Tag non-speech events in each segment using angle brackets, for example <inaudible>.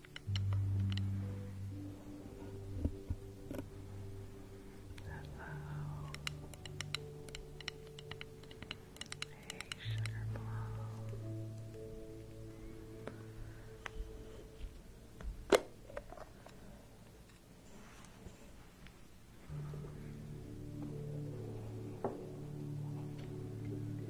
Hello. Hey, sugar blow.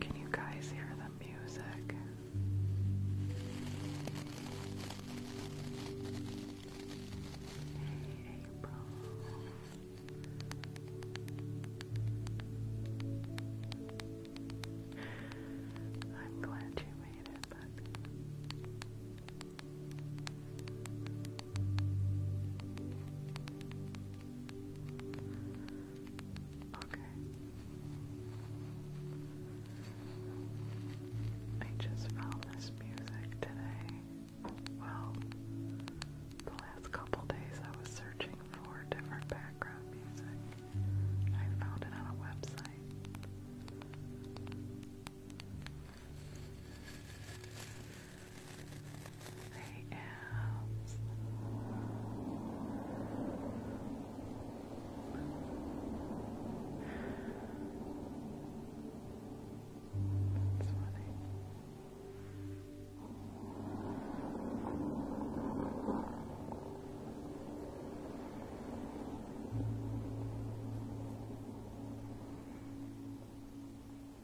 Can you guys hear the music? Hey, April. I'm glad you made it, but Okay. I just found this music today. Well, the last couple days I was searching for different background music. I found it on a website the abs. That's funny.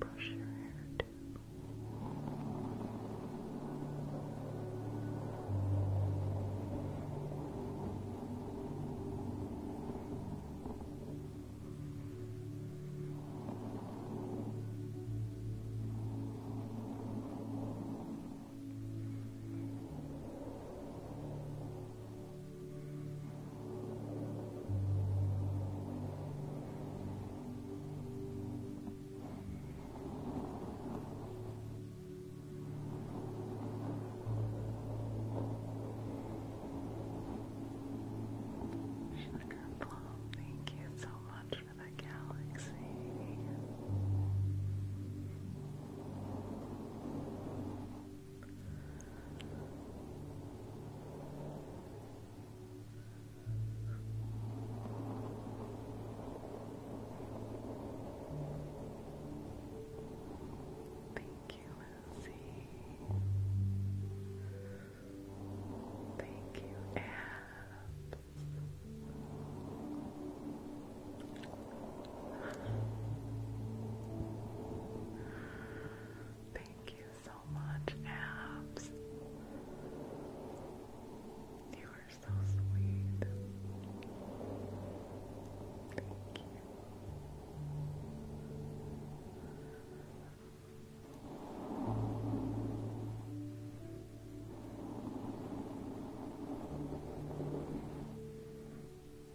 Brush your hair too. Brush Sugar Plum, thank you so much for the galaxy. Thank you, Lucy. Thank you, Ab. Thank you so much, Abs. You are so sweet. Thank you. Kelly.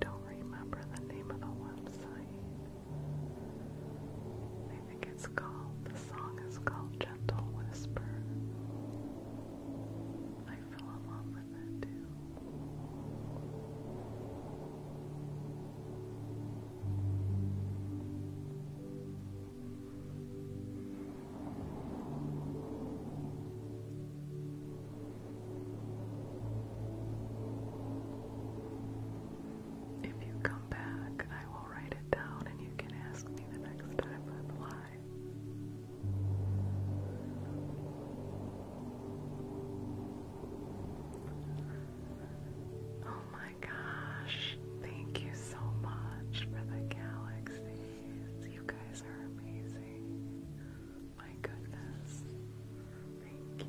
Don't remember the name of the website. I think it's called, the song is called Gentle Whisper. I If you come back, I will write it down and you can ask me the next time I'm live. Oh my gosh, thank you so much for the galaxies. You guys are amazing. My goodness. Thank you.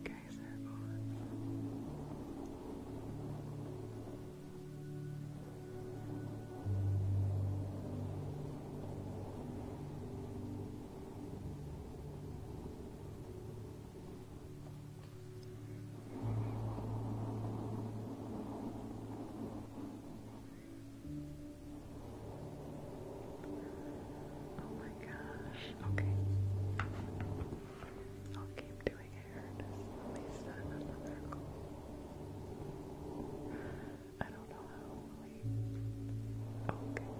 Okay, circle. Okay. Uh, Oh my gosh. Okay. I'll keep doing hair at least another I don't know how we okay.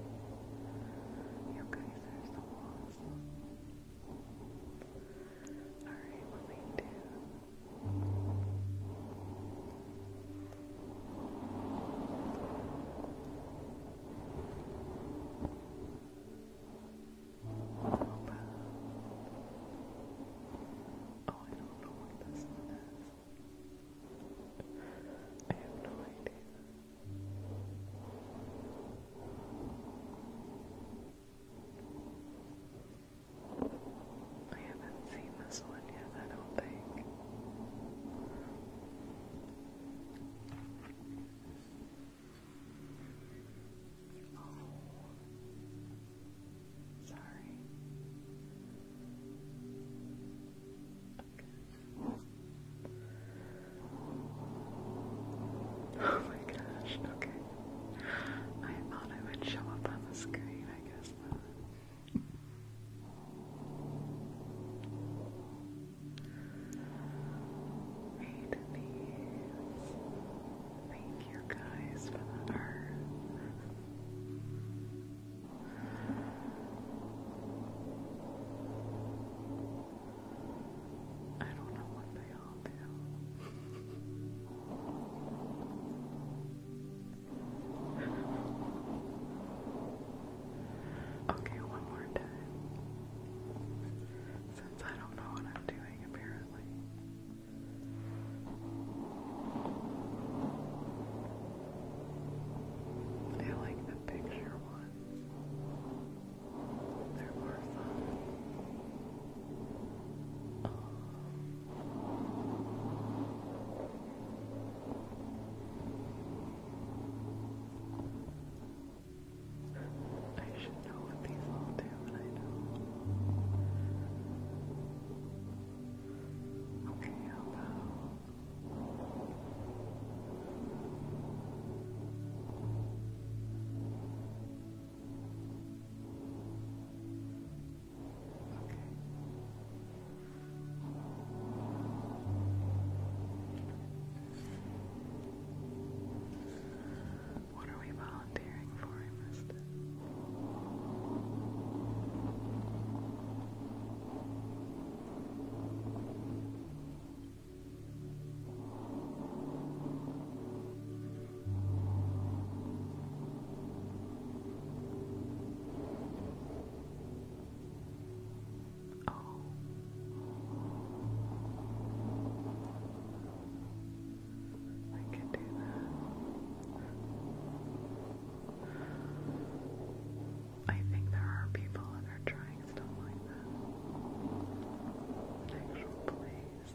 You guys are so awesome. Alright, what we do Oh, I don't know what this is. I have no idea. I haven't seen this one yet, I don't think sorry. Okay. Oh my gosh, okay. I thought I would show up on the screen, I guess not. Made these. Thank you guys for the art. I don't know what they all do. Okay, one more time. Since I don't know what I'm doing, apparently. I like the picture ones. They're more fun. Um, I should know what these all do, but I don't. Okay, how about... Okay. What are we volunteering for, I Oh. I can do that. I think there are people that are trying stuff like that. actual place.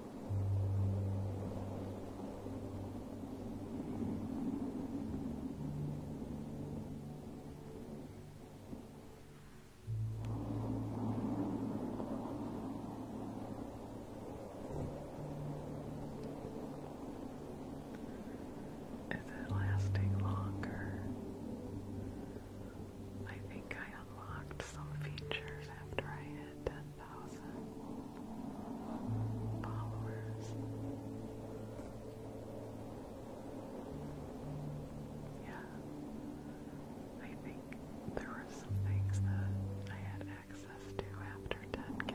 Is it lasting longer? I think I unlocked some features after I hit thousand followers. Yeah. I think there were some things that I had access to after 10K.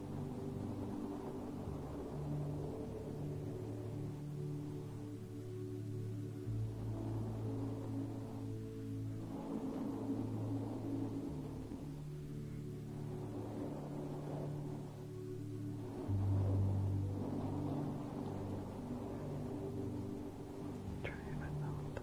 Try it out here.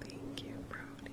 Thank you, Brody.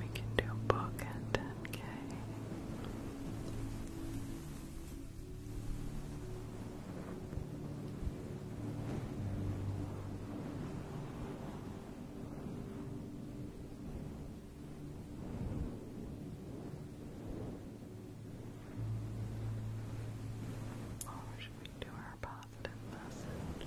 We can do a book at 10k. Or should we do our positive message?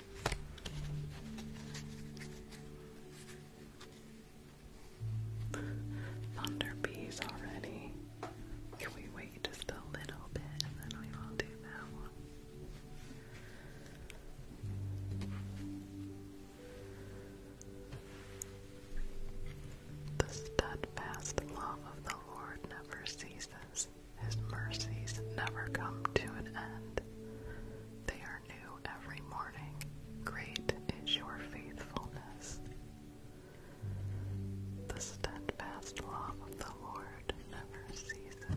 Thunder peas already. Can we wait just a little bit and then we will do that one? The steadfast love of the Lord never ceases. His mercies never come to an end. They are every morning. Great is your faithfulness. The steadfast love of the Lord never ceases.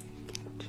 get Good.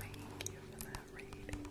Thank you for that reading.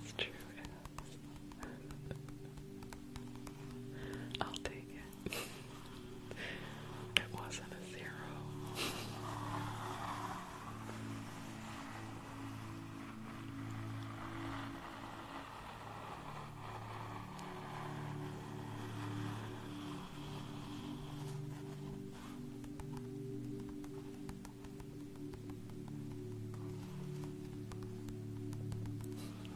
That's true. <laughs> I'll take it it wasn't a zero.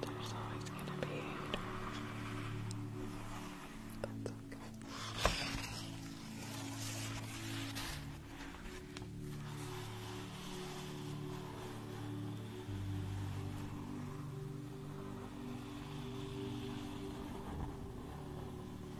There's always gonna be That's okay.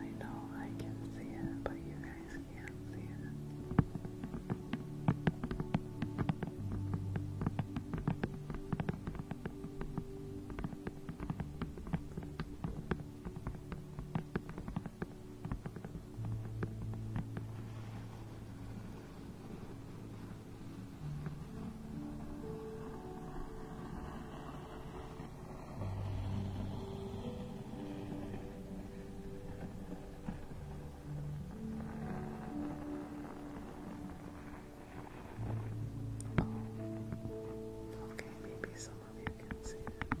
I know I can see it, but you guys can't see it. Oh. Okay, maybe some hope you can see it. Okay.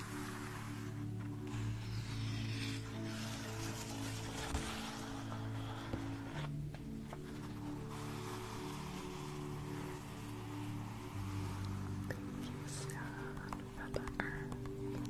Thank you, Sarah, for the earth. Thank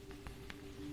Barry, hello.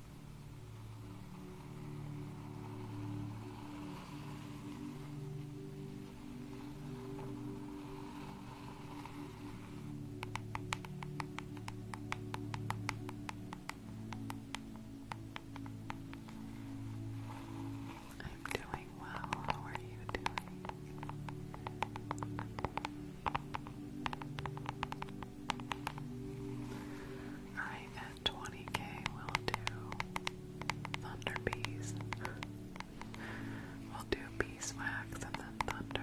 I'm doing well. How are you doing? I 20k we'll do thunder bees. we'll do beeswax and then thunder.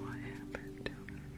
What happened to her?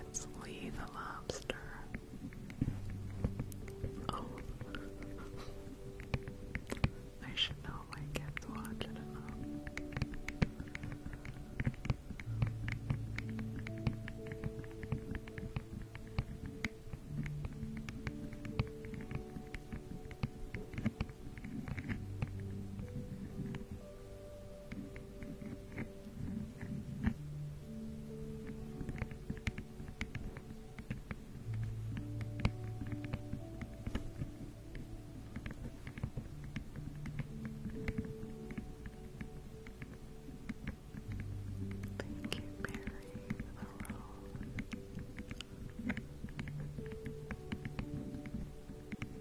It's Lee the lobster. Oh. I should know my kids watch it enough. Thank you, Mary.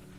Dexter,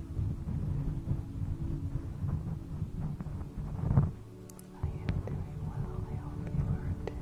I am doing well. I hope you are too.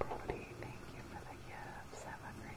Brody, thank you for the gifts. of a great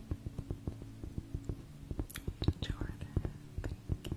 Jordan, thank you.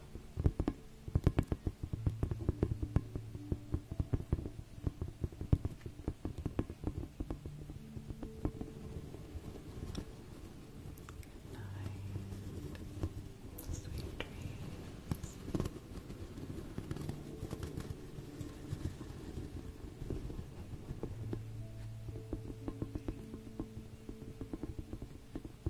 night. Sweet dreams.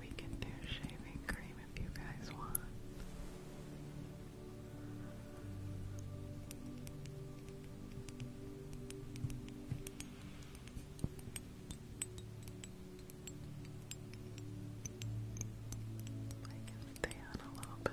We can do shaving cream if you guys want. I can stay a little bit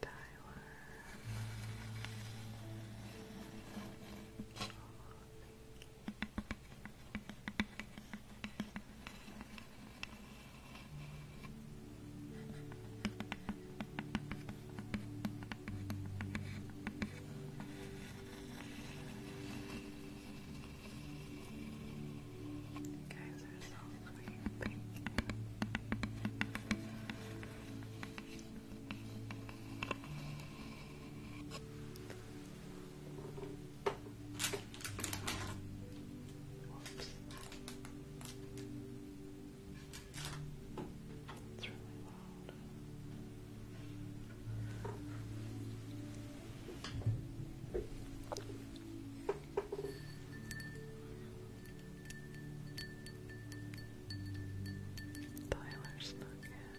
Tyler. Oh, you sleeping. Whoops. It's really loud. Tyler snuck in.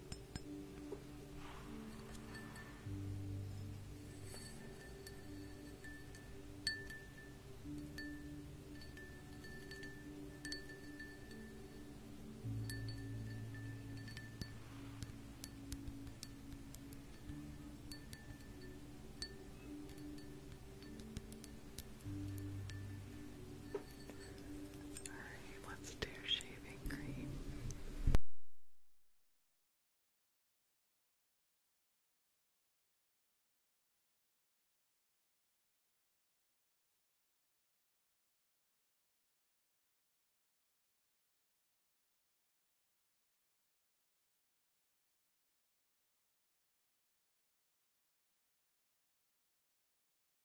Alright, let's do shaving cream.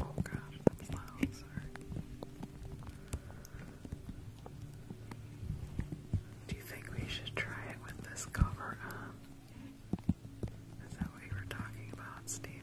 Oh gosh, that's loud, sorry. Do you think we should try it with this cover up? Is that what you were talking about, Steven?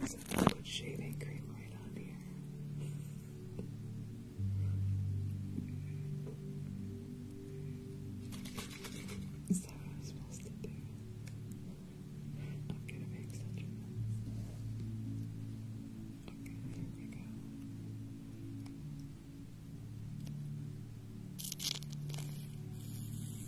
Let's put shaving cream right on here. Is that what I'm supposed to do? i Okay, here we go.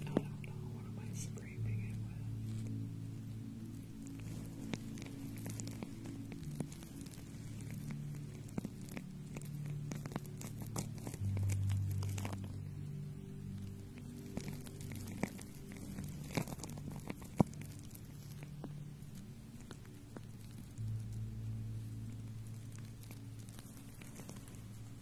I don't know, what am I scraping it with?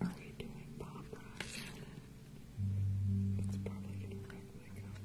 Are we doing pop rocks? It's probably gonna wreck my cover.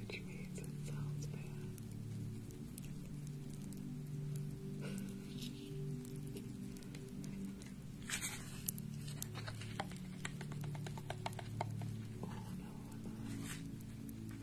Which means it sounds bad. Oh no,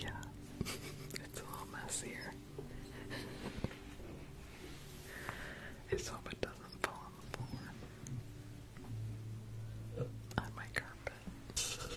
Yeah, it's a little messier. I hope it doesn't fall on the floor. On my carpet.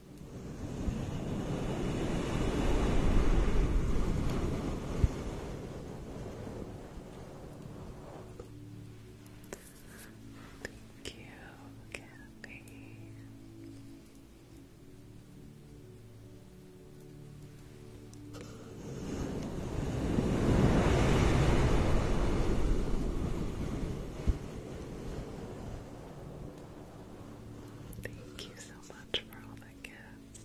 Thank you, Kathy. Thank you so much for all the gifts.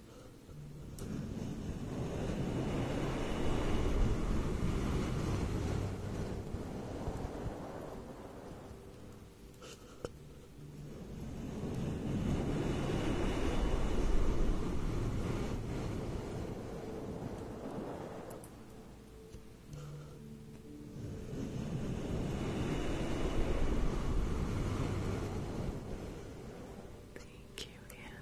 Thank you, Anna.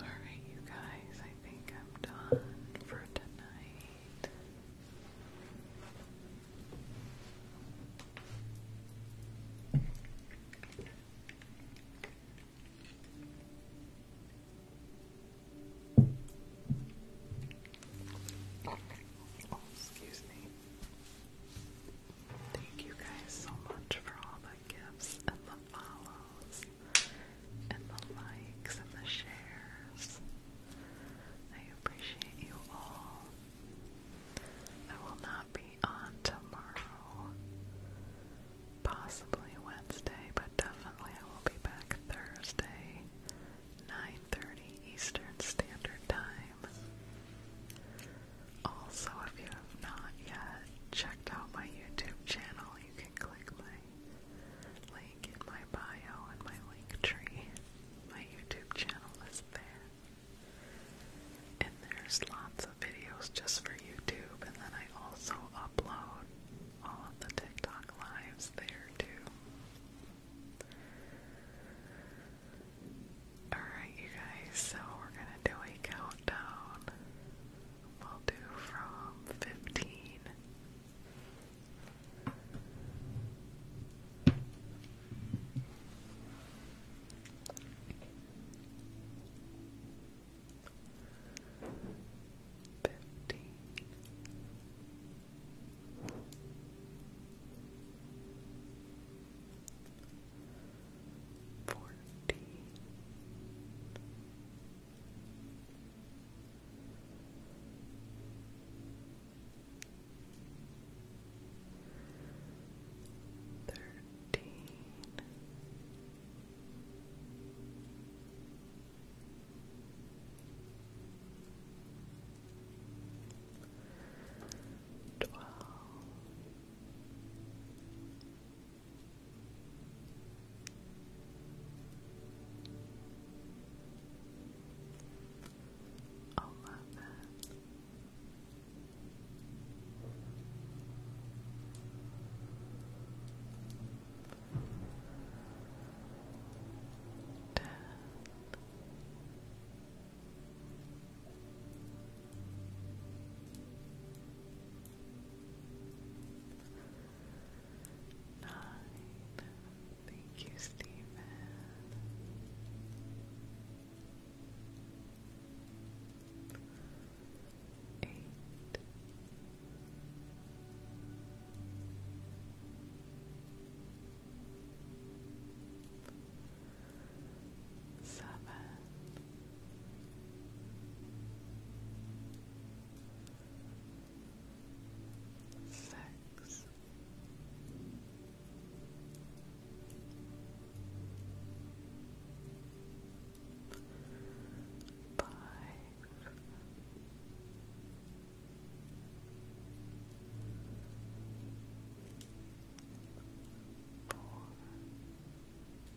Alright, you guys, I think I'm done for tonight. Oh, excuse me. Thank you guys so much for all the gifts and the follows and the likes and the shares. I appreciate you all. I will not be on tomorrow, possibly Wednesday, but definitely I will be back Thursday, 9:30 Eastern Standard Time. Also, if you have not yet checked out my YouTube channel, you can click my link in my bio and my link tree. My YouTube channel is there. And there's lots of videos just for YouTube, and then I also upload all of the TikTok lives there too. Alright, you guys, so we're gonna do a countdown. We'll do from 15 fourteen thirteen Twelve, I love Nine. Thank you, Stephen. Eight. Seven. Six. Five. Four.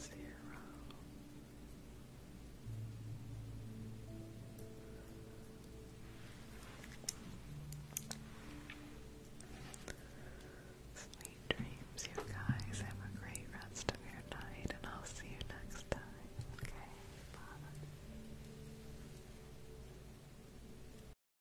zero. Sweet dreams, you guys. Have a great rest of your night, and I'll see you next time. Okay, bye.